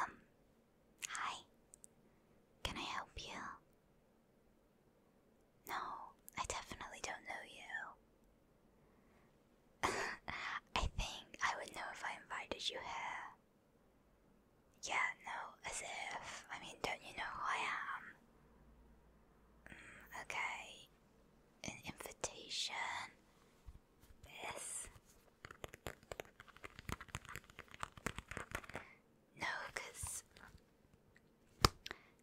Um, hi. Can I help you? No, I definitely don't know you. I think I would know if I invited you here. Yeah, no, as if. I mean, don't you know who I am? Mm, okay, an invitation this no because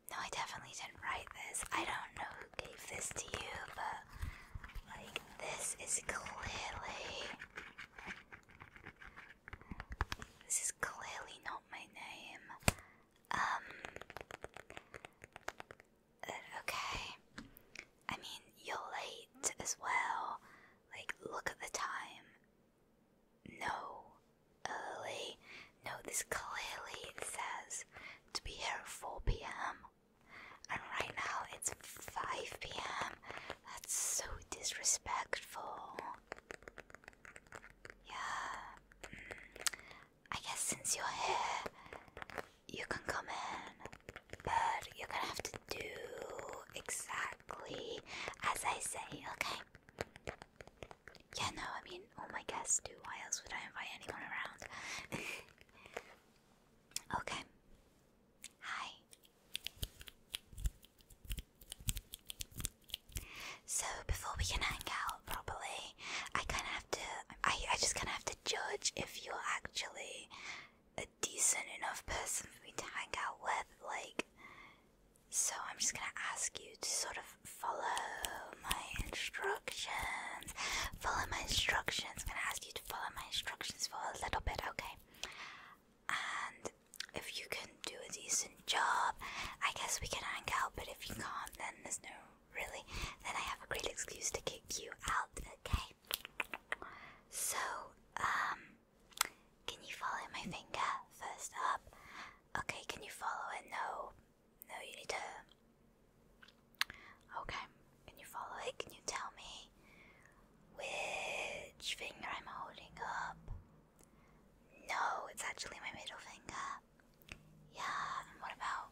no i definitely didn't write this i don't know who gave this to you but like this is clearly this is clearly not my name um. Okay. I mean, you're late as well. Like, look at the time. No. Early. No, this clearly says to be here at 4 pm. And right now it's 5 pm. That's so disrespectful. Yeah. Mm. I guess since you're here, you can come in, but you're gonna have to do exactly as I say, okay? Yeah, no, I mean, all oh my guests do. Why else would I invite anyone around? okay. Hi. So, before we can hang out, properly. I kind of have to. I I just kind of have to judge if you're actually a decent enough person for me to hang out with. Like, so I'm just gonna ask you to sort of follow my instructions. Follow my instructions. I'm gonna ask you to follow my instructions for a little bit, okay? And if you can do a decent job, I guess we can hang out. But if you can't, then there's no really? Then I have a great excuse to kick you out, okay? So, um, can you follow my finger first up? Okay, can you follow it? No, no, you need to. Okay, can you follow it? Can you tell me which finger I'm holding up? No, it's actually my middle finger. Yeah, what about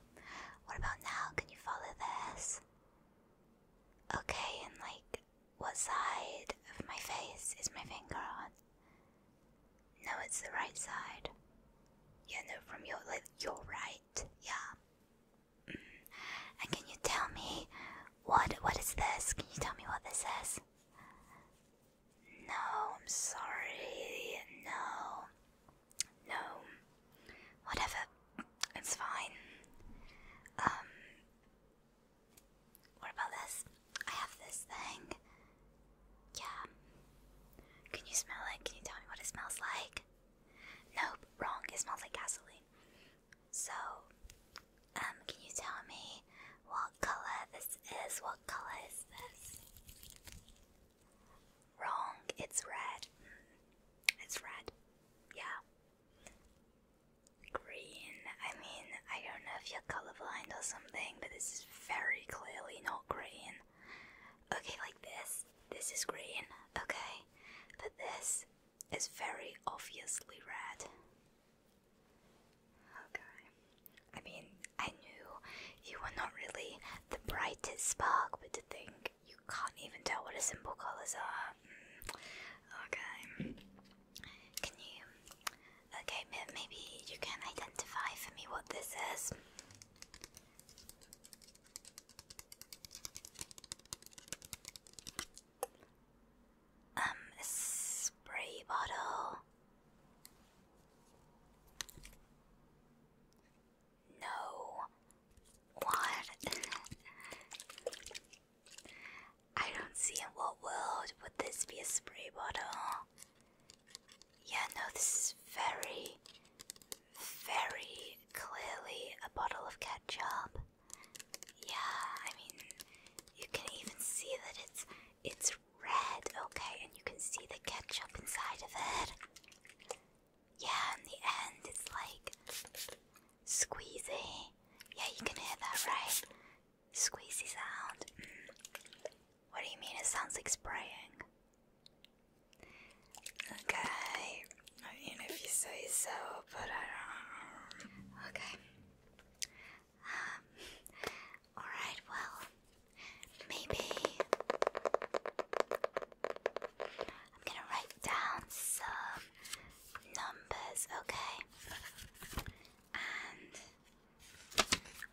what about now? Can you follow this? Okay, and like what side of my face is my finger on? No, it's the right side. Yeah, no, from your like your right. Yeah. Mm. And can you tell me what what is this? Can you tell me what this is? No, I'm sorry. No. No. Whatever. It's fine. Um. What about this? I have this thing. Yeah. Can you smell it? Can you tell me what it smells like? Nope, wrong. It smells like gasoline. So, um, can you tell me what color this is? What color is this? Wrong, it's red. Mm. it's red. Yeah. Green. I mean, I don't know if you're colorblind or something, but this is very clearly not green. Okay, like this. This is green, okay? But this is very obviously red. Okay. I mean, I knew you are not really the brightest spark but to think You can't even tell what a simple colors are. Mm. Okay. Can you? Okay, maybe you can identify for me what this is. Um, spray bottle. No. What? I don't see in what world would this be a spray bottle. Yeah, no, this is very, very clearly a bottle of ketchup. Yeah, I mean, you can even see that it's it's red, okay, and you can see the ketchup inside of it yeah, in the end, it's like squeezy. Yeah, you can hear that, right? Squeezy sound. Mm. What do you mean? It sounds like spraying. Okay, I mean, if you say so, but I don't. Um, okay. Um, Alright, well, Maybe I'm gonna write down some numbers, okay? And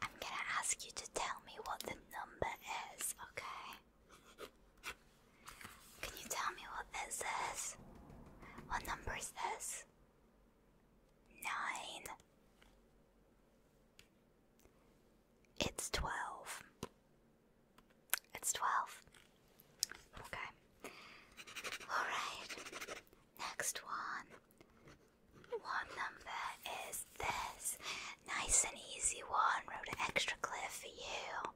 I'm gonna ask you to tell me what the number is, okay? Can you tell me what this What number is this? Nine. It's 12. It's 12. Okay. Alright. Next one. One number is this. Nice and easy one. Wrote an extra clip for you.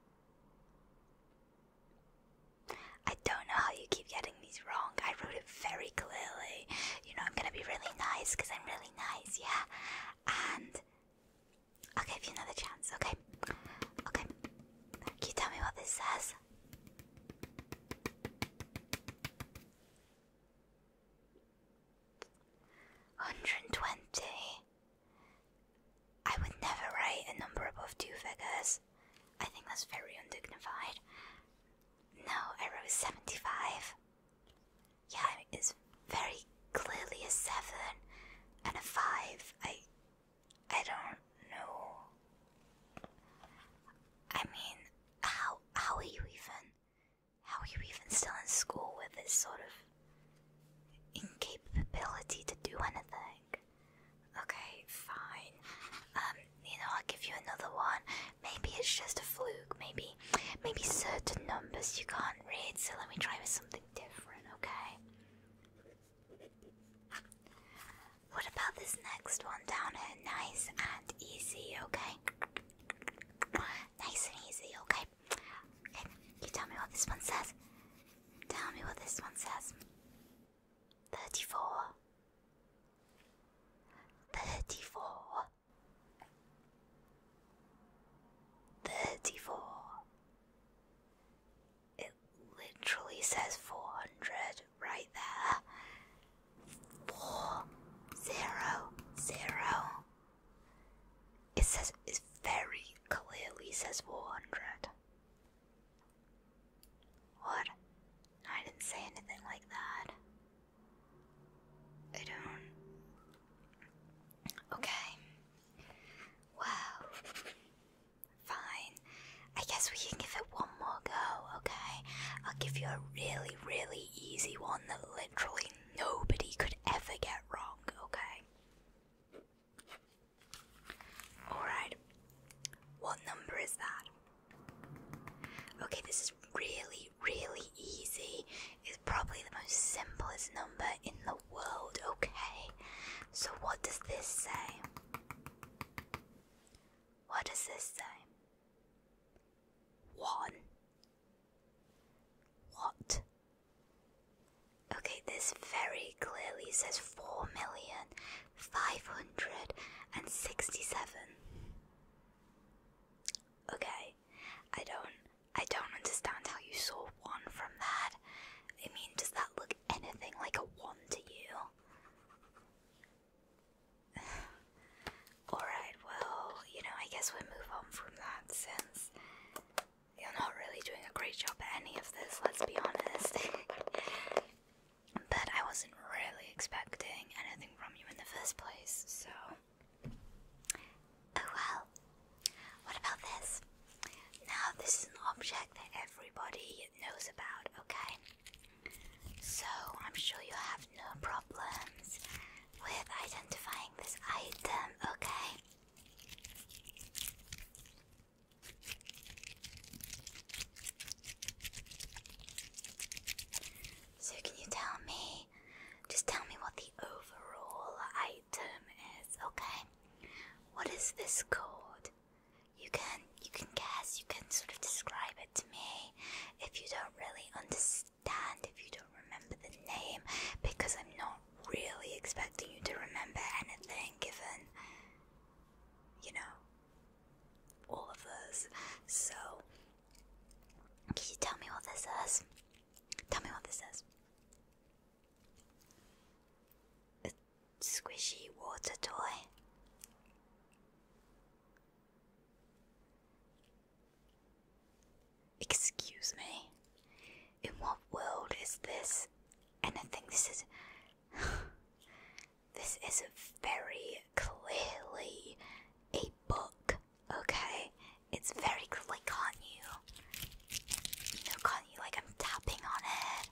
I don't know how you keep getting these wrong. I wrote it very clearly. You know, I'm gonna be really nice because I'm really nice, yeah? And I'll give you another chance, okay? Okay. Can you tell me what this says? Hundred and twenty. I would never write a number above two figures. I think that's very undignified. No, I wrote seventy-five yeah, it's very clearly a seven and a five. I, I don't know. I mean, how how are you even? How are you even still in school with this sort of incapability to do anything? Okay, fine. Um, you know, I'll give you another one. Maybe it's just a fluke. Maybe maybe certain numbers you can't read, so let me try with something different, okay? What about this next one down Nice and easy, okay? Nice and easy, okay? Okay, you tell me what this one says. Tell me what this one says. 34 34 Thirty-four. It literally says four hundred right there. Four zero zero. It says it very clearly says four hundred. What? I didn't say anything like that. I don't. Okay. Wow. Fine. I guess we can give it one more go, okay? I'll give you a really, really easy one that literally nobody could ever get wrong, okay? Alright. What number is that? Okay, this is really really, easy. It's probably the most simplest number in the world, okay? So, what does this say? What does this say? One. What? Okay, this very clearly says four million five hundred and sixty seven. Okay, I don't I don't understand how you saw one from that. I mean, does that look anything like a one to you? Alright, well, you know, I guess we move on from that since you're not really doing a great job at any of this, let's be honest. but I wasn't really expecting anything from you in the first place, so Oh well. What about this? Now, this is an object that everybody knows about, okay? So, I'm sure you have no problems with identifying this item, okay? So, can you tell me? Just tell me what the overall item item okay? What is this called? You can you can guess, you can sort of describe it to me if you don't really understand, if you don't remember the name, because I'm not really expecting you to remember anything given you know all of us. So can you tell me what this is? Tell me what this is. A squishy water toy. Excuse me. In what world is this? And I think this is. this is very clearly a book. Okay, it's very clearly caught you. You know, caught you like I'm tapping on it.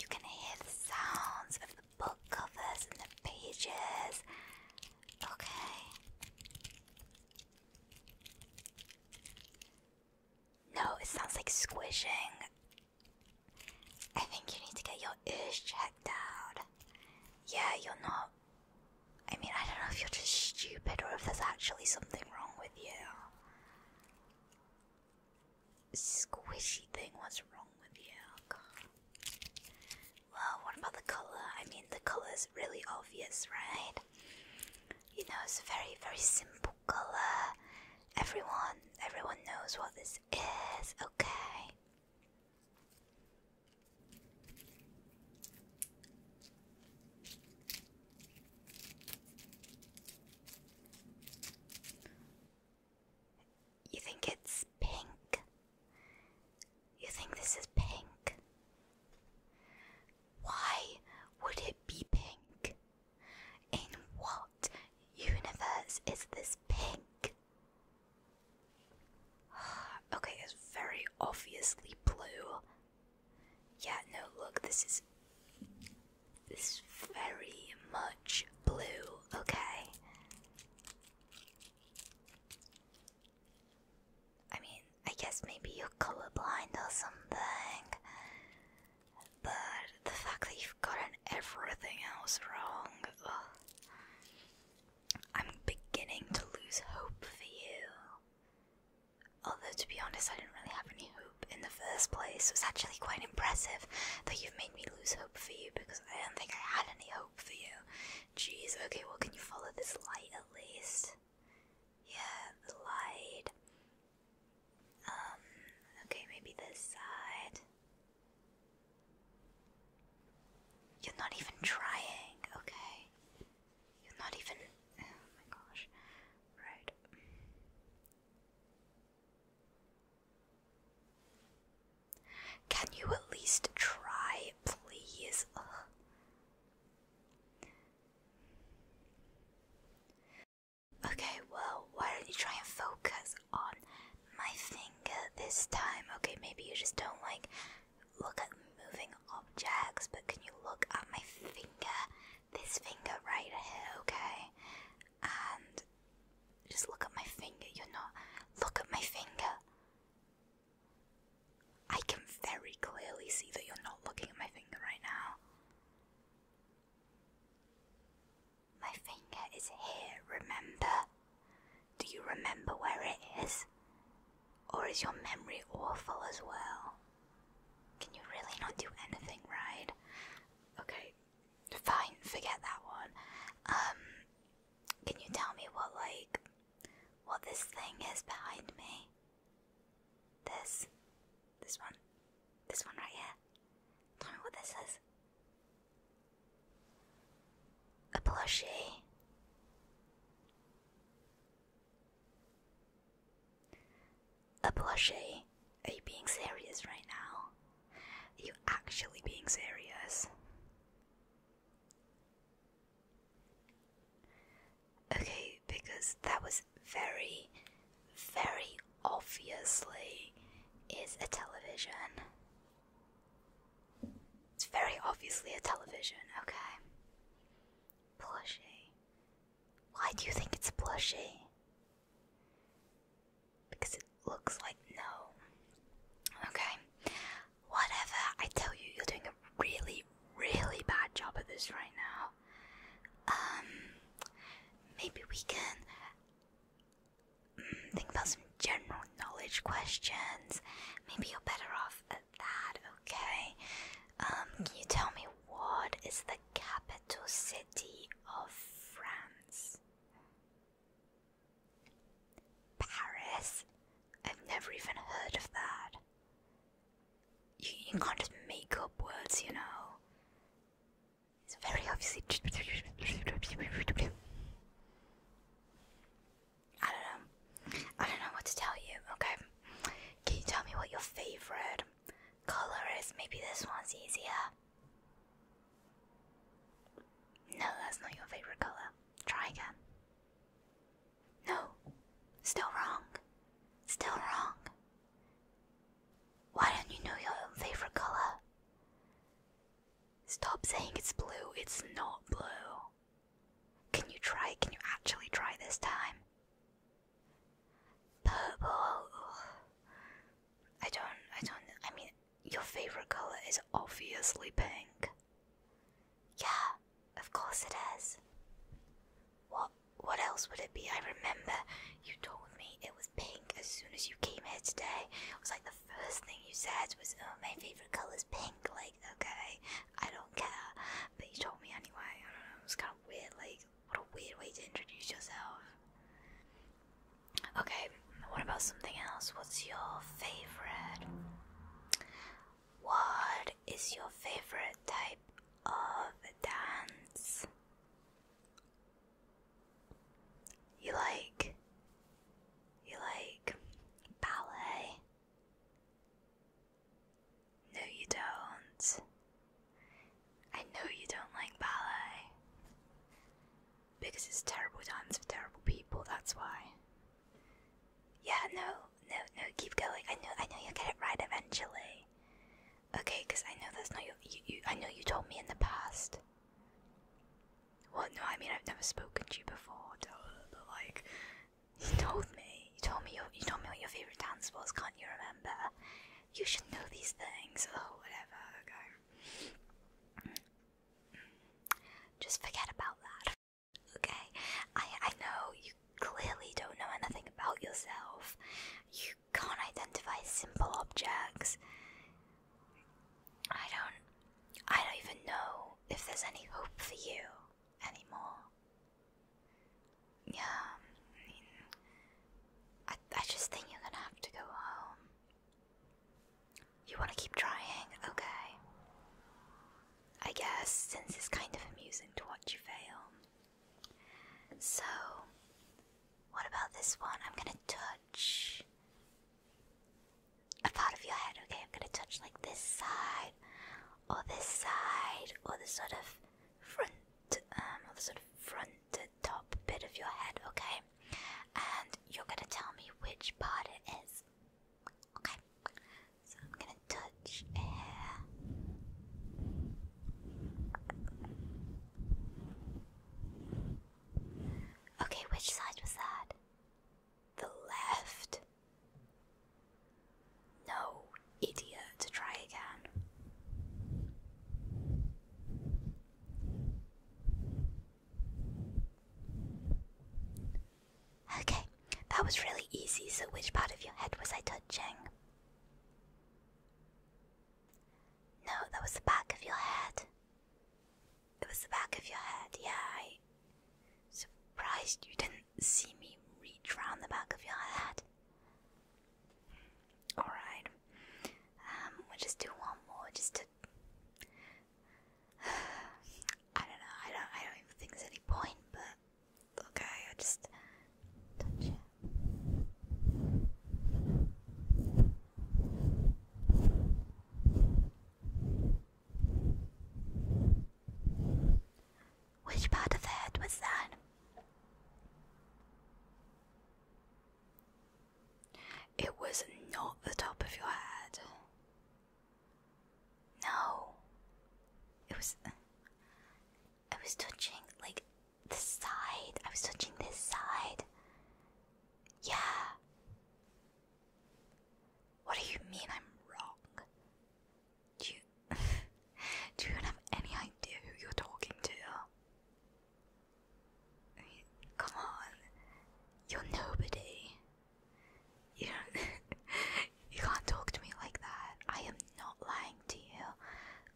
You can hear the sounds of the book covers and the pages. Okay. No, it sounds like squishing. I think you need to get your ears checked out. Yeah, you're not I mean, I don't know if you're just stupid or if there's actually something wrong with you. Squishy thing, what's wrong with you? Well, what about the colour? I mean, the colour is really obvious, right? You know, it's a very, very simple colour. Everyone, everyone knows what this is, okay? You think it's pink? You think this is pink? Why would it be pink? In what universe is this pink? okay, it's very obviously blue. Yeah, no, look, this is this is very much blue, okay? I mean, I guess maybe you're colorblind or something. But the fact that you've gotten everything else wrong, I'm beginning to lose hope for you. Although, to be honest, I didn't really have any hope in the first place, It was actually quite impressive that you've made me lose hope for you because I don't think I had any hope for you. Jeez, okay, well, can you follow this light at least? Yeah, the light. Um, okay, maybe this side. You're not even trying, okay. You're not even. Oh my gosh. Right. Can you at least try, please? Okay, well, why don't you try and focus on my finger this time? Okay, maybe you just don't like look at moving objects, but can you look at my finger? This finger right here, okay? And just look at my finger. You're not. Look at my finger. I can very clearly see that you're not looking at my finger right now. My finger is here, remember? Do you remember where it is? Or is your memory awful as well? Can you really not do anything right? Okay, fine, forget that one. Um, can you tell me what, like, what this thing is behind me? This? This one? This one right here? Tell me what this is. A plushie. A plushie? Are you being serious right now? Are you actually being serious? Okay, because that was very, very obviously is a television. It's very obviously a television, okay? Plushie. Why do you think it's plushie? Because it looks like no. Okay. Whatever, I tell you, you're doing a really, really bad job at this right now. Um, maybe we can mm, think about some general knowledge questions. Maybe you're better off uh, that, okay? Um, can you tell me what is the capital city of France? Paris? I've never even heard of that. You, you can't just make up words, you know. It's very obviously. I don't know. I don't know what to tell you, okay? Can you tell me what your favorite color is? Maybe this one's easier. No, that's not your favorite color. Try again. No, still wrong. Still wrong. Why don't you know your own favorite color? Stop saying it's blue, it's not blue. Can you try? Can you actually try this time? Purple. I don't, I don't, I mean, your favorite color is obviously pink. Yeah, of course it is. What, what else would it be? I remember you told me it was pink as soon as you came here today. It was like the first thing you said was, oh, my favorite color is pink. Like, okay, I don't care. But you told me anyway. I don't know, it was kind weird. Like, what a weird way to introduce yourself. Okay, what about something else? What's your favorite? What is your favorite type of dance? You like you like ballet? No, you don't. I know you don't like ballet. Because it's terrible dance for terrible people, that's why. Yeah, no, no, no, keep going. I know, I know you'll get it right eventually. Okay, because I know that's not your. You, I know you told me in the past. Well, no, I mean, I've never spoken to you before, like, you told me. You told me. Your, you told me what your favorite dance was. Can't you remember? You should know these things. Oh, whatever. Okay. Mm. Just forget about that. Okay. I I know you clearly don't know anything about yourself. You can't identify simple objects. I don't. I don't even know if there's any hope for you anymore. Yeah, I I just think you're gonna have to go home. You wanna keep trying? Okay. I guess, since it's kind of amusing to watch you fail. So, what about this one? I'm gonna touch a part of your head, okay? I'm gonna touch like this side, or this side, or the sort of front, um, the sort of fronted top bit of your head, okay? And you're gonna tell me which part it is, okay? So I'm gonna touch Okay, which side was that? The left. No, idiot, try again. Okay, that was really easy. So, which part of your head was I touching? No, that was the back of your head. It was the back of your head, yeah. surprised you didn't see me reach round the back of your head. Alright. Um, we just do one more just to I don't know, I don't I don't even think there's any point, but okay, I just touch which part of the head was that? It was not the top of your head. No. It was. I was touching, like, the side. I was touching this side. Yeah. What do you mean I'm wrong? You do you have any idea who you're talking to? come on, you're nobody. You you can't talk to me like that. I am not lying to you.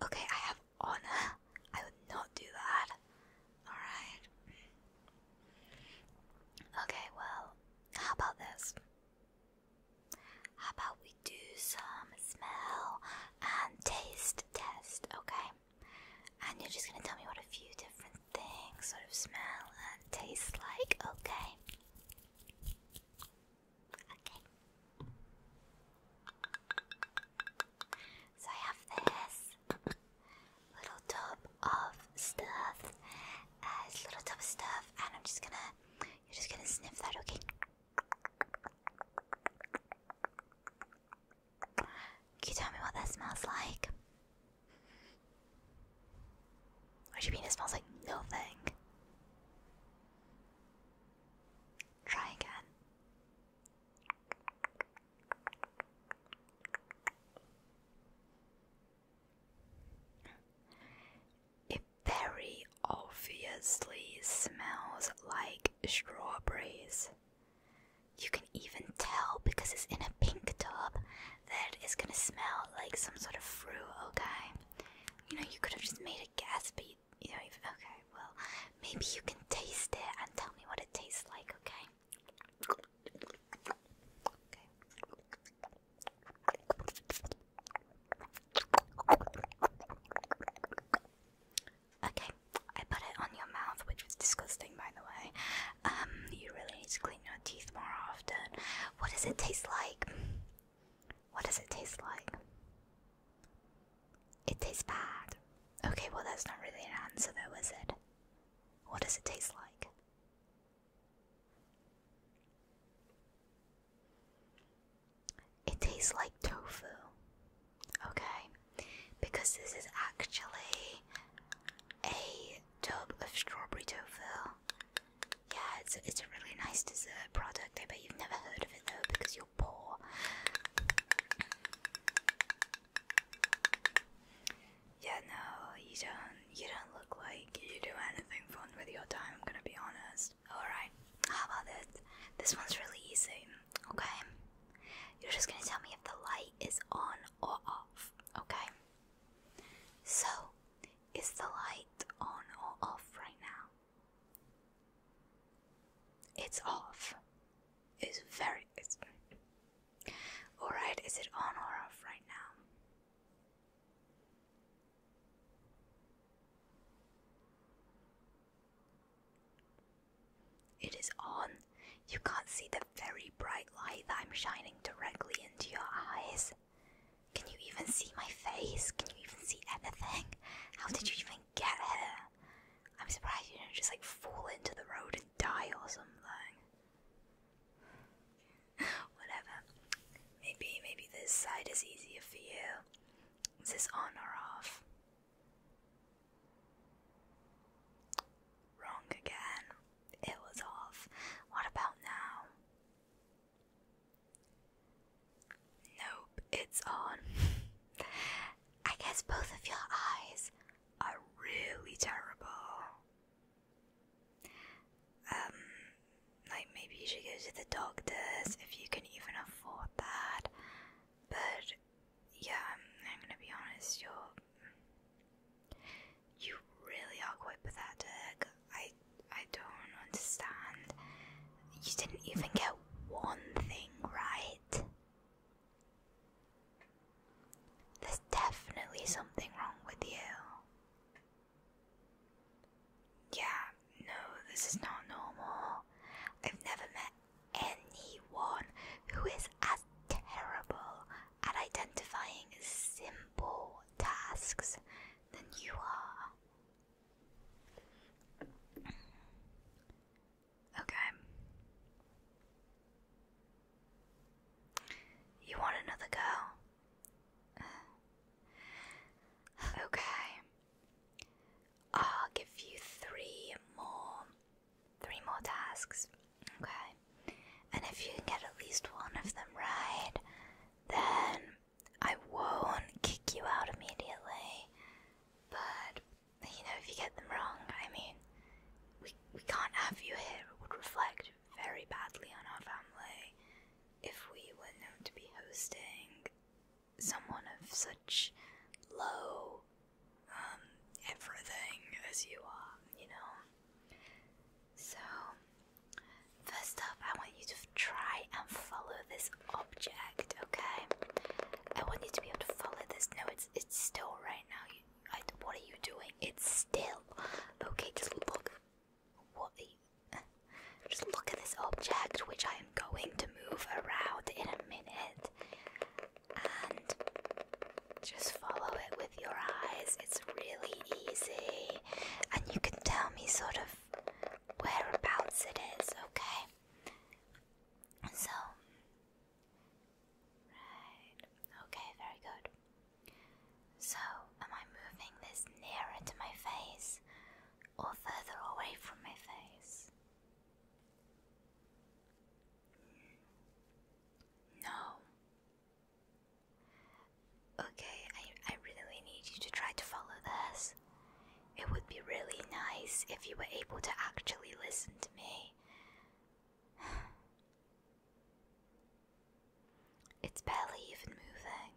Okay, I have honor. I would not do that. Alright. Okay, well, how about this? How about we do some smell and taste test, okay? And you're just gonna tell me what a few different things sort of smell and taste like, okay? Okay. So I have this little tub of stuff. Uh, it's a little tub of stuff, and I'm just gonna, you're just gonna sniff that, okay? Can you tell me what that smells like? What do you mean it smells like nothing? Try again. It very obviously smells like strawberries. You can even tell because it's in a pink tub that it's gonna smell like some sort of fruit, okay? You know, you could have just made a gas beat. You know, even, okay, well, maybe you can taste it and tell me what it tastes like, Okay. Okay, I put it on your mouth, which was disgusting, by the way. Um, you really need to clean your teeth more often. What does it taste like? What does it taste like? It tastes bad. Okay, well, that's not really an answer, though, is it? What does it taste like? It tastes like tofu. Okay? Because this is actually a tub of strawberry tofu. Yeah, it's, it's a really nice dessert product. I bet you've never heard of it though because you're poor. Yeah, no, you don't. You don't look like you do anything fun with your time. I'm gonna be honest first. Alright, how about this? This one's really easy, okay? You're just gonna tell me if the light is on or off, okay? So, is the light on or off right now? It's off. It's very. Alright, is it on or off right now? It is on. You can't see the very bright light that I'm shining directly into your eyes. Can you even see my face? Can you even see anything? How did you even get here? I'm surprised you didn't just like fall into the road and die or something. Whatever. Maybe, maybe this side is easier for you. Is this on or off? Wrong again. It was off. What about now? Nope, it's on. I guess both of your eyes are really terrible. Um, like maybe you should go to the doctors if you can even afford that. But yeah, I'm, i gonna be honest, you're you really are quite pathetic. I I don't understand. You didn't even get one thing right. There's definitely something wrong with you. Yeah, no, this is not normal. I've never met anyone who is as terrible at identifying simple tasks than you are. Okay. You want another girl? Okay. I'll give you three more, three more tasks. Okay, and if you can get at least one of them right, then I won't kick you out immediately. But you know, if you get them wrong, I mean, we we can't have you here. It would reflect very badly on our family if we were known to be hosting someone of such low um, everything as you are, you know. So, first up, I want you to try and follow this object, okay? I want you to be able to follow this. No, it's it's still right now. what are you doing? It's still. Okay, just look. What are you? Just look at this object, which I am going to move around in a minute. And just follow it with your eyes. It's really easy. And you can tell me sort of whereabouts it is, okay? So. Right. Okay, very good. So, am I moving this nearer to my face or further away from my face. No. Okay, I, I really need you to try to follow this. It would be really nice if you were able to actually listen to me. It's barely even moving.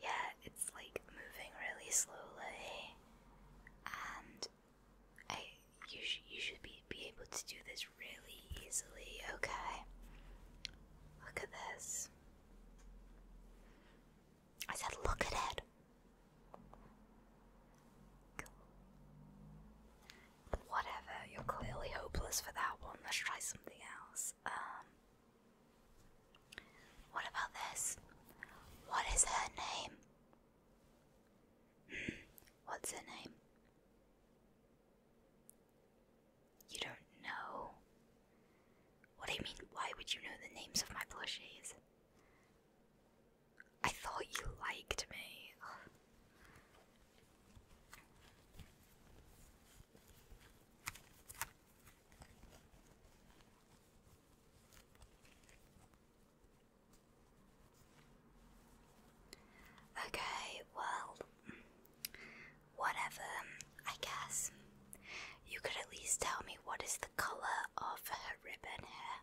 Yeah, it's like moving really slowly, and I you sh you should be be able to do this really easily. Okay, look at this. I said, look at it. Whatever, you're clearly hopeless for that one. Let's try something else. Um, what about this? What is her name? Hmm, what's her name? You don't know. What do you mean, why would you know the names of my plushies? I thought you liked me. Okay, well, whatever, I guess. You could at least tell me what is the colour of her ribbon here.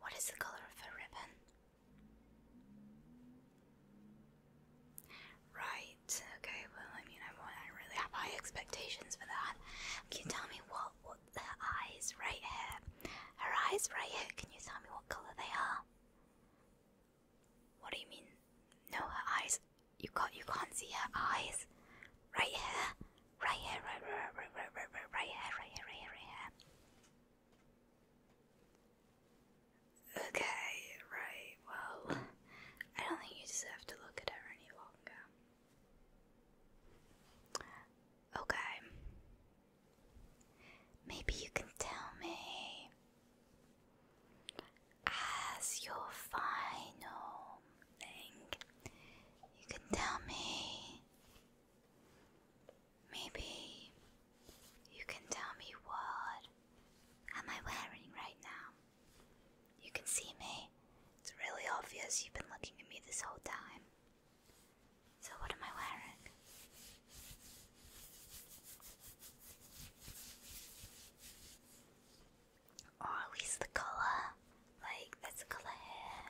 What is the colour of her ribbon? Right. Okay. Well, I mean, I, I really have high expectations for that. Can you tell me what what her eyes right here? Her eyes right here. Can you tell me what color they are? What do you mean? No, her eyes. You can't. You can't see her eyes. Right here. Right here. Right. Right. Right. Right. Right. Right. Right here. Right here. Right here. Right here. Okay, right, well, I don't think you deserve to look at her any longer. Okay. Maybe you can tell me as your final thing. You can tell me. Maybe you can tell me what am I wearing right now? You can see me. It's really obvious you've been looking at me this whole time. So, what am I wearing? Or oh, at least the color. Like, that's the color here.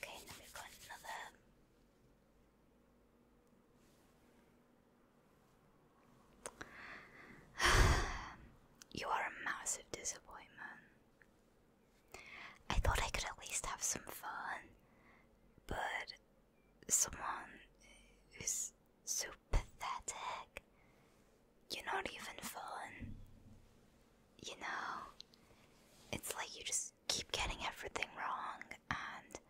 Okay, now we've got another. you are a massive disappointment. I thought I could at least have some fun, but someone who's so pathetic, you're not even fun. You know, it's like you just keep getting everything wrong, and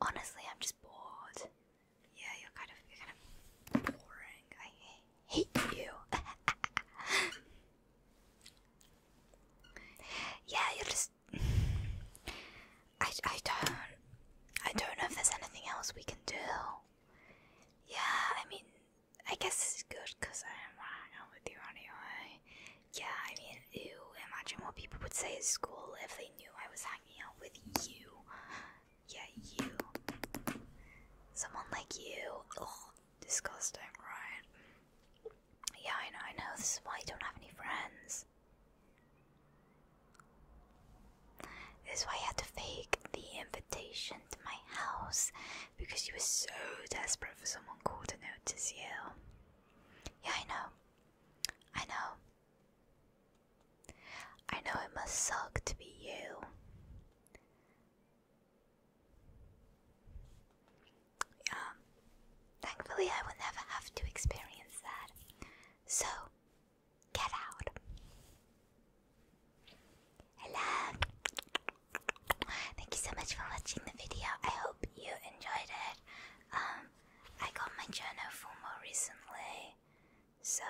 honestly, I'm just bored. Yeah, you're kind of you're kind of boring. I hate you. yeah, you're just. I I don't I don't know if there's anything else we can do. Yeah, I mean, I guess it's good because I don't want to hang out with you anyway. Yeah, I mean, you imagine what people would say at school if they knew I was hanging hanging out with you. Yeah, you. Someone like you. disgusting, right? Yeah, I know, I know. This is why you don't have any friends. This is why you had to fake the invitation to my house because you were so desperate for someone cool to notice you. Yeah, I know. I know. I know it must suck to be you. Um, thankfully, I will never have to experience that. So, get out. Hello. Thank you so much for watching the video. I hope you enjoyed it. Um, I got my journal for more recently. So,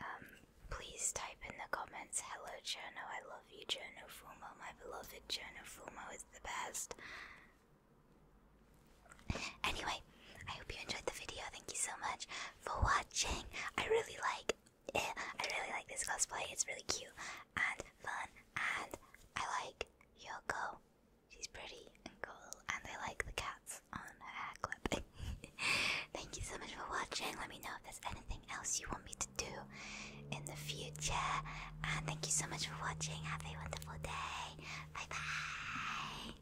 um, please type in the comments, hello Jono, I love you Jono Fumo, my beloved Jono Fumo is the best. Anyway, I hope you enjoyed the video, thank you so much for watching. I really like, it. I really like this cosplay, it's really cute and fun and I like Yoko She's pretty and cool, and I like the cats on her hair clip. Thank you so much for watching. Let me know if there's anything else you want me to do in the future. And thank you so much for watching. Have a wonderful day. Bye bye.